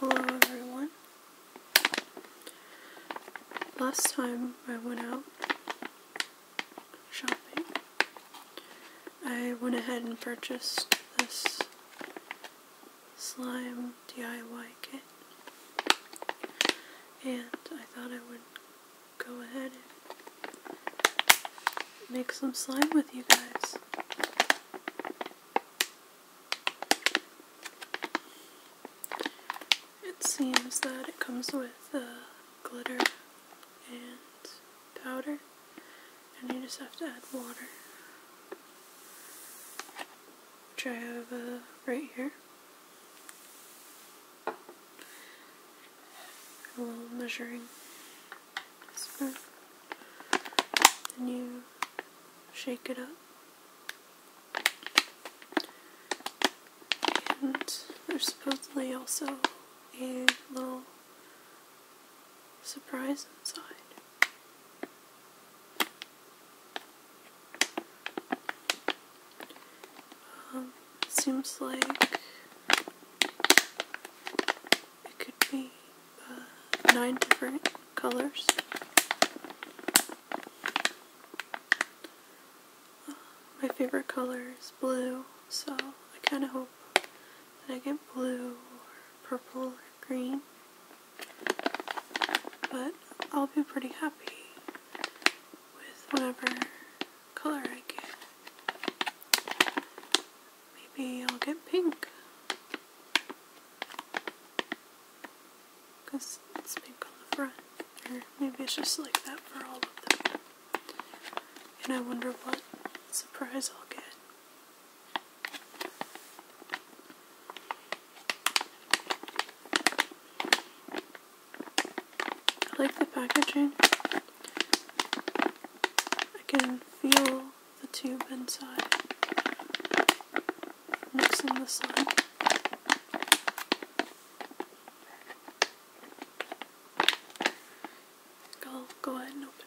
Hello everyone. Last time I went out shopping, I went ahead and purchased this slime DIY kit. And I thought I would go ahead and make some slime with you guys. It seems that it comes with uh, glitter and powder, and you just have to add water, which I have uh, right here a little measuring spoon. Then you shake it up. And there's supposedly also a little surprise inside. Um, seems like it could be uh, nine different colors. Uh, my favorite color is blue, so I kind of hope that I get blue purple or green. But I'll be pretty happy with whatever color I get. Maybe I'll get pink. Because it's pink on the front. Or maybe it's just like that for all of them. And I wonder what surprise I'll get. I like the packaging. I can feel the tube inside. Mixing the slide. i go ahead and open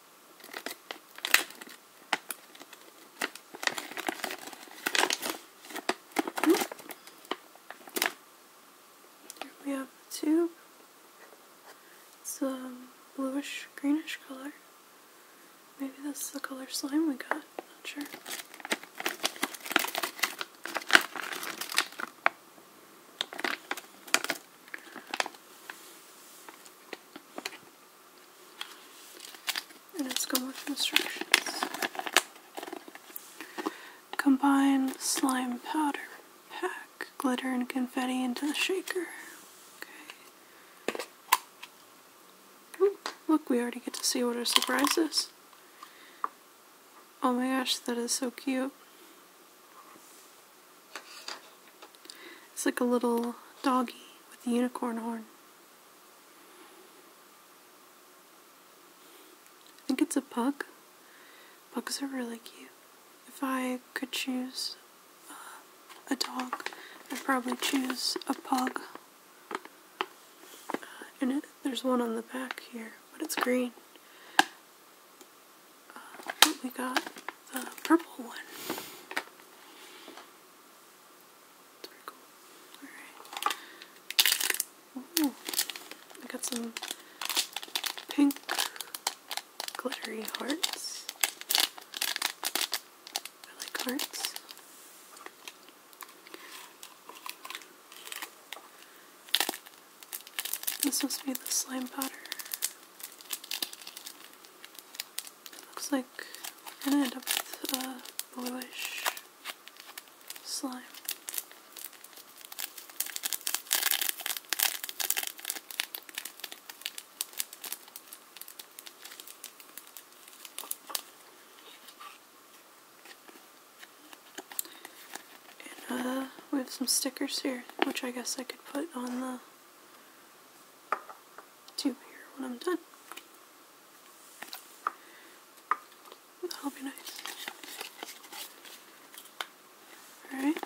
Here hmm. we have the tube. It's a bluish greenish color. Maybe that's the color slime we got. Not sure. And let's go with instructions. Combine slime powder, pack glitter and confetti into the shaker. Okay. look, we already get to see what our surprise is. Oh my gosh, that is so cute. It's like a little doggy with a unicorn horn. I think it's a pug. Pugs are really cute. If I could choose uh, a dog, I'd probably choose a pug. Uh, and there's one on the back here, but it's green. Uh, we got the purple one. It's cool. Alright. Ooh. I got some pink glittery hearts. I like hearts. This must be the slime powder. Looks like I are gonna end up with a uh, bluish slime. And uh, we have some stickers here, which I guess I could put on the tube here when I'm done. That'll be nice. Alright.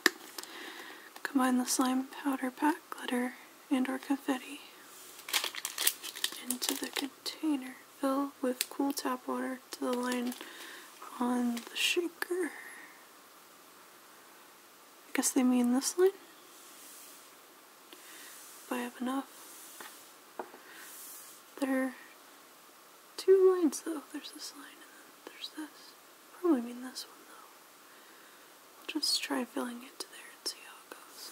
Combine the slime powder pack, glitter, and or confetti into the container. Fill with cool tap water to the line on the shaker. I guess they mean this line. If I have enough. There are two lines though. There's this line and then there's this. Probably mean this one though. I'll just try filling it to there and see how it goes.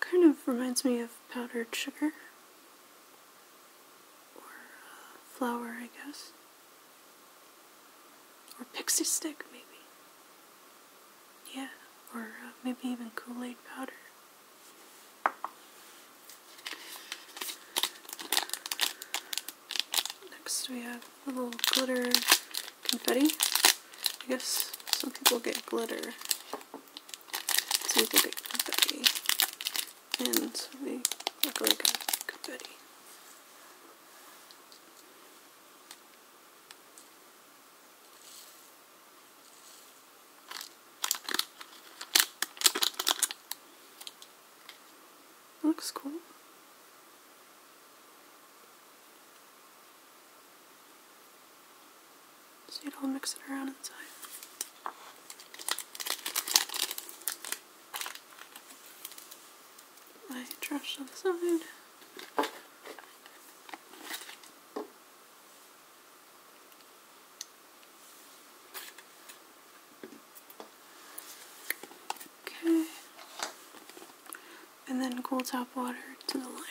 Kind of reminds me of powdered sugar. Or uh, flour, I guess. Or pixie stick, maybe. Yeah, or uh, maybe even Kool Aid powder. Next we have little glitter confetti. I guess some people get glitter. Some people get confetti. And they look like a confetti. Looks cool. So it don't mix it around inside. I my trash on the side. Okay and then cool tap water to the line.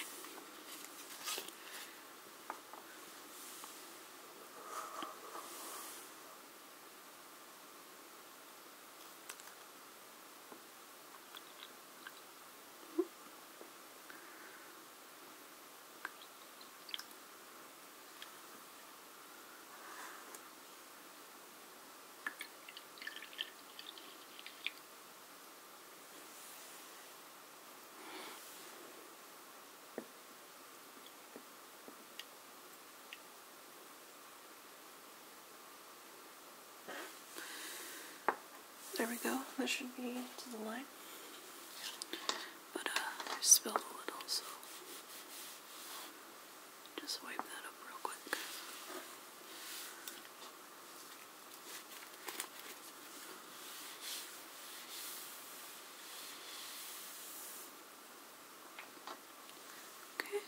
There we go. That should be to the line. But uh, spilled a little, just wipe that up real quick. Okay.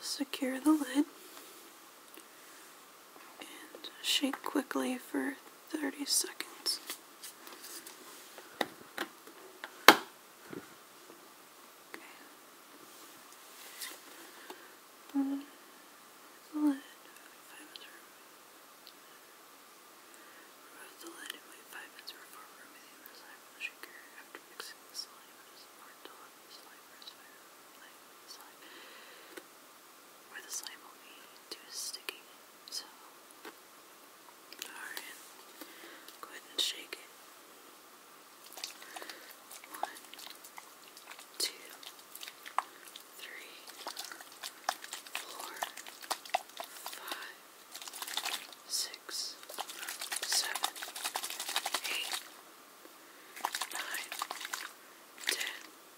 secure the lid and shake quickly for 30 seconds. Okay. Um, Five minutes remove the lid and five minutes for the slime from the shaker. After mixing the slime, it is important to let the slime rest for the slime. the slime will be too sticky alright. Go ahead and shake it. One, two, three, four, five, six, seven, eight, nine, ten.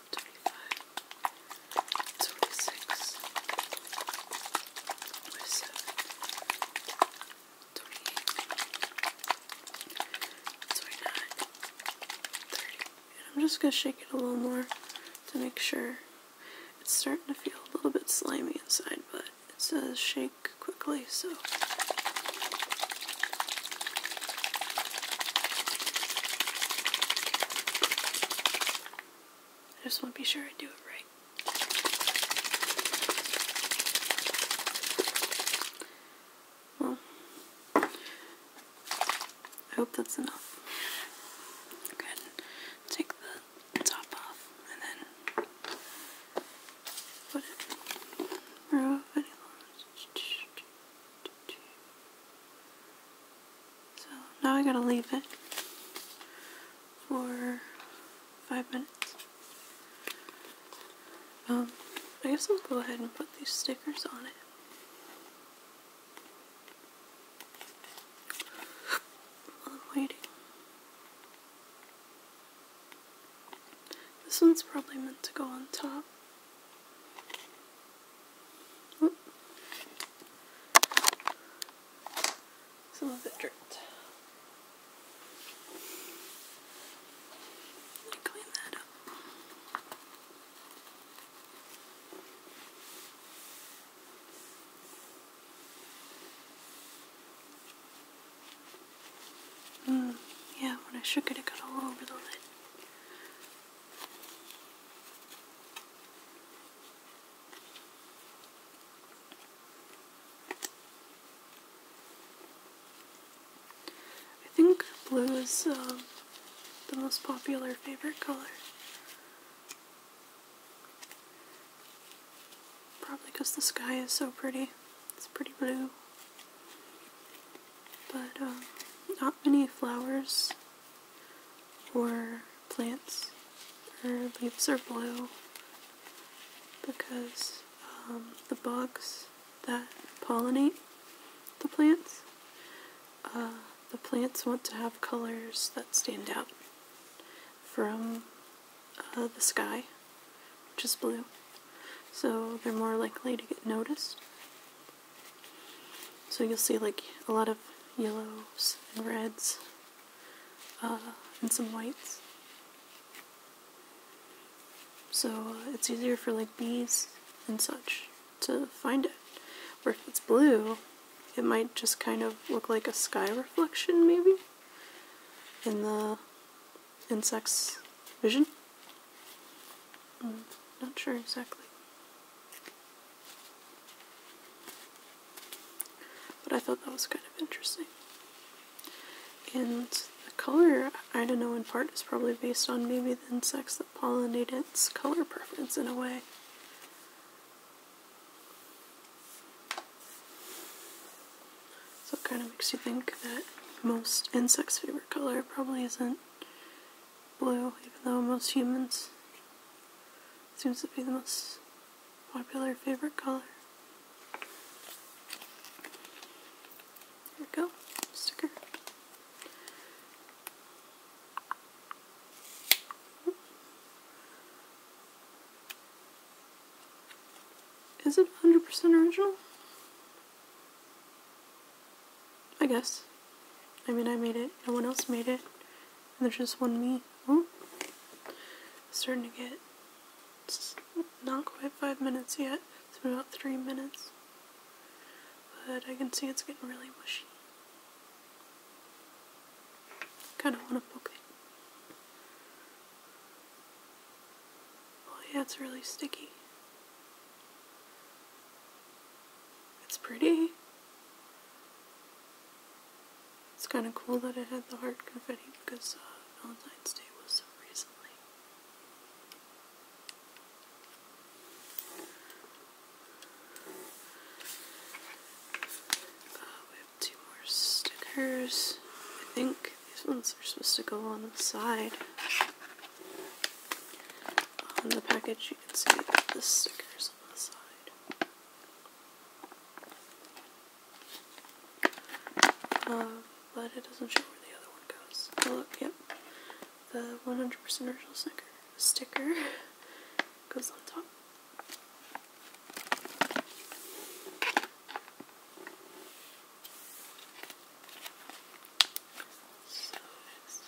25, 26, 27, I'm just going to shake it a little more to make sure. It's starting to feel a little bit slimy inside, but it says shake quickly, so. I just want to be sure I do it right. Well, I hope that's enough. Go take the top off and then put it. So now I gotta leave it for five minutes. Um, I guess I'll go ahead and put these stickers on it. While I'm waiting. This one's probably meant to go on top. Some of it dripped. Clean that up. Mm, yeah, when I shook it, it got all over the lid. I think blue is um, the most popular favorite color. Probably because the sky is so pretty. It's pretty blue. But um, not many flowers or plants their leaves are blue because um, the bugs that pollinate the plants, uh, the plants want to have colors that stand out from uh, the sky, which is blue. So they're more likely to get noticed. So you'll see like a lot of yellows and reds uh, and some whites. So uh, it's easier for like bees and such to find it. Or if it's blue, it might just kind of look like a sky reflection maybe in the insect's vision. Mm, not sure exactly. But I thought that was kind of interesting. And the color, I don't know, in part is probably based on maybe the insects that pollinate its color preference in a way. So it kind of makes you think that most insects' favorite color probably isn't blue, even though most humans seems to be the most popular favorite color. There we go, sticker. Is it 100% original? I guess. I mean, I made it. No one else made it. there's just one me. starting to get... not quite five minutes yet. It's been about three minutes. But I can see it's getting really mushy. Kind of want to poke it. Oh yeah, it's really sticky. It's pretty. It's kind of cool that it had the heart confetti because uh, Valentine's Day was so recently. Uh, we have two more stickers. I think these ones are supposed to go on the side. On the package, you can see the stickers on the side. Uh, but it doesn't show where the other one goes. Oh, look, yep. The 100% original sticker, sticker goes on top.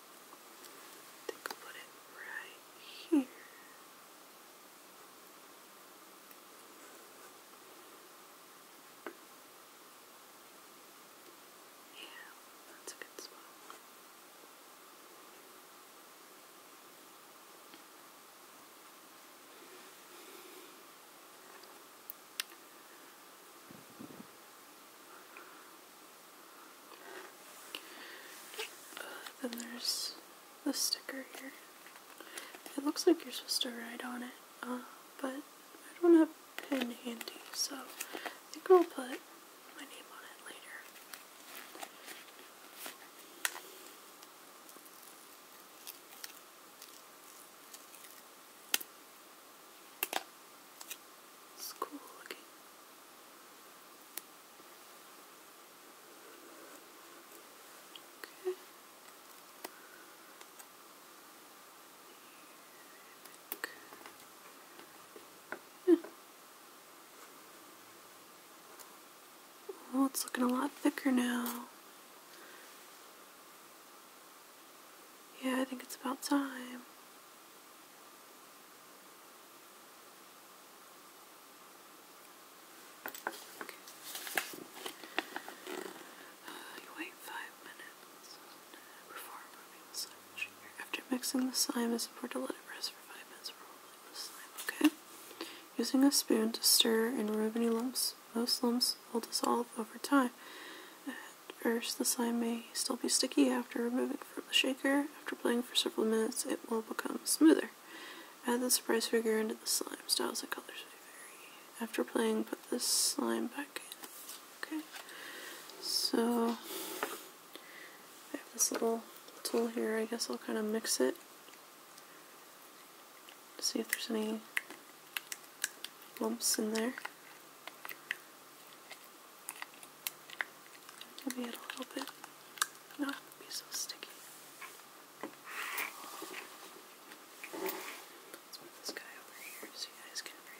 I think I'll put it right here. Yeah, that's a good spot. Uh, then there's the sticker here. It looks like you're supposed to write on it, uh, but I don't have a pen handy, so I think I'll put my name on it later. It's cool looking. Okay. Well, it's looking a lot thicker now. Yeah, I think it's about time. Uh, you wait five minutes After mixing the slime, it's important to let it rest for five minutes okay? Using a spoon to stir and remove any lumps. Most lumps will dissolve over time or the slime may still be sticky after removing from the shaker. After playing for several minutes, it will become smoother. Add the surprise figure into the slime. Styles and colors vary. After playing, put the slime back in. Okay. So, I have this little tool here. I guess I'll kind of mix it. See if there's any lumps in there. Maybe it a little bit. Not be so sticky. Let's move this guy over here so you guys can breathe.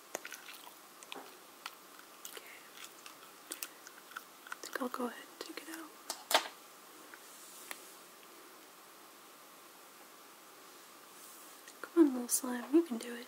Okay. I think I'll go ahead and take it out. Come on, little slime, you can do it.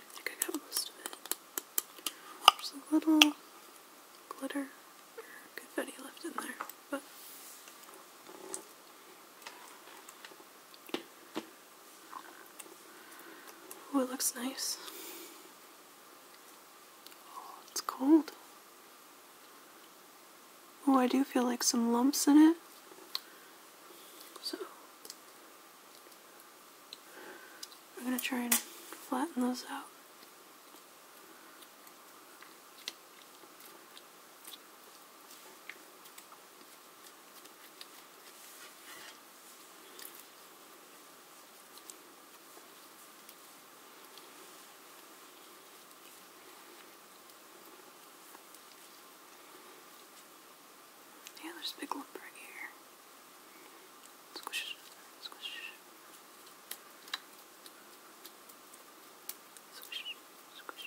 I think I got most There's a little glitter or confetti left in there, but Oh, it looks nice. Oh, it's cold. Oh, I do feel like some lumps in it. So, I'm going to try and flatten those out. Yeah, there's a big lump right here. Squish, squish. Squish, squish.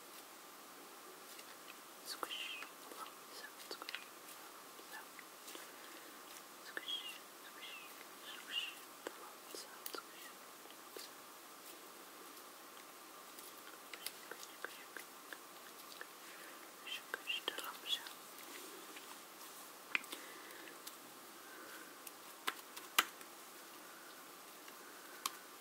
Squish, plump sound, squish, plump sound. Squish, squish, squish, plump sound, squish, plump sound. Squish, plump sound. Squish,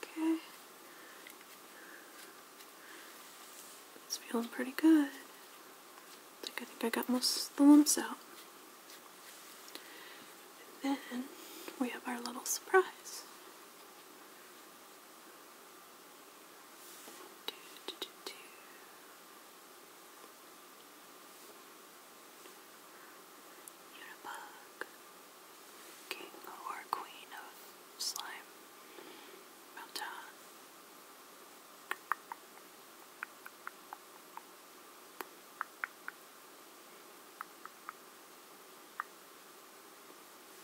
Okay. It's feeling pretty good. I think I, got most the lumps out. And then we have our little surprise king or queen of slime meltdown.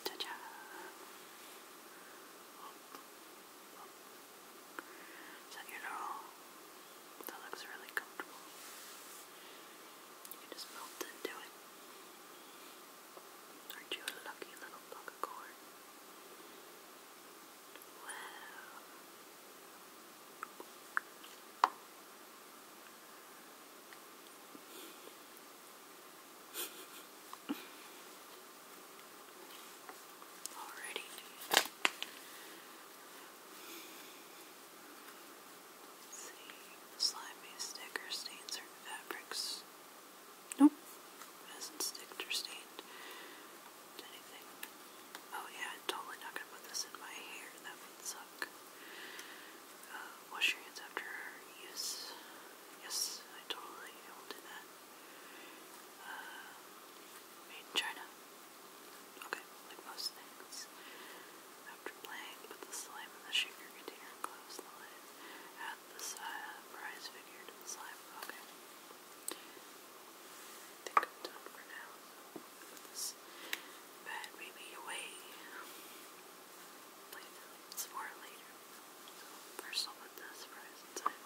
Ta -da. Is that your doll? That looks really comfortable. You can just melt into it. Aren't you a lucky little block of corn? Wow. Alrighty. Let's see, slimy sticker stains certain fabrics. Nope, hasn't sticked or stained anything. Oh yeah, totally not gonna put this in my hair. That would suck. Uh, wash your hands after use. Yes, I totally will that. Uh, made in China. Okay, like most things. After playing, put the slime in the sugar container close the lid. Add the uh, prize to the slime. Okay. think I'm done for now. this bad baby away. Play this more later. first I'll put this prize inside.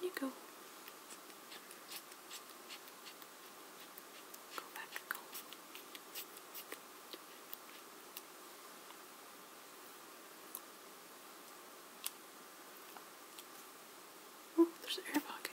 There you go. Go back, go. Oh, there's an air pocket.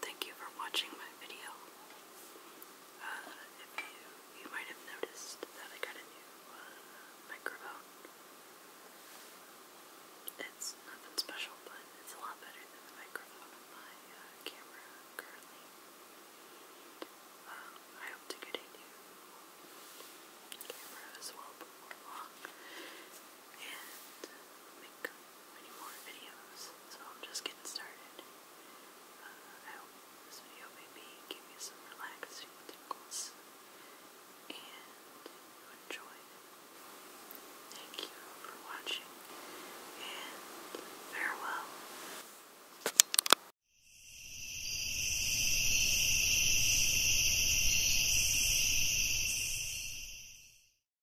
thank you for watching my video. Uh, if you, you might have noticed that I got a new uh, microphone. It's nothing special, but it's a lot better than the microphone of my uh, camera currently. Um, I hope to get a new camera as well before long and make many more videos. So I'm just getting started. Uh, I hope this video maybe gave you some relaxing tingles and you enjoyed. Thank you for watching and farewell.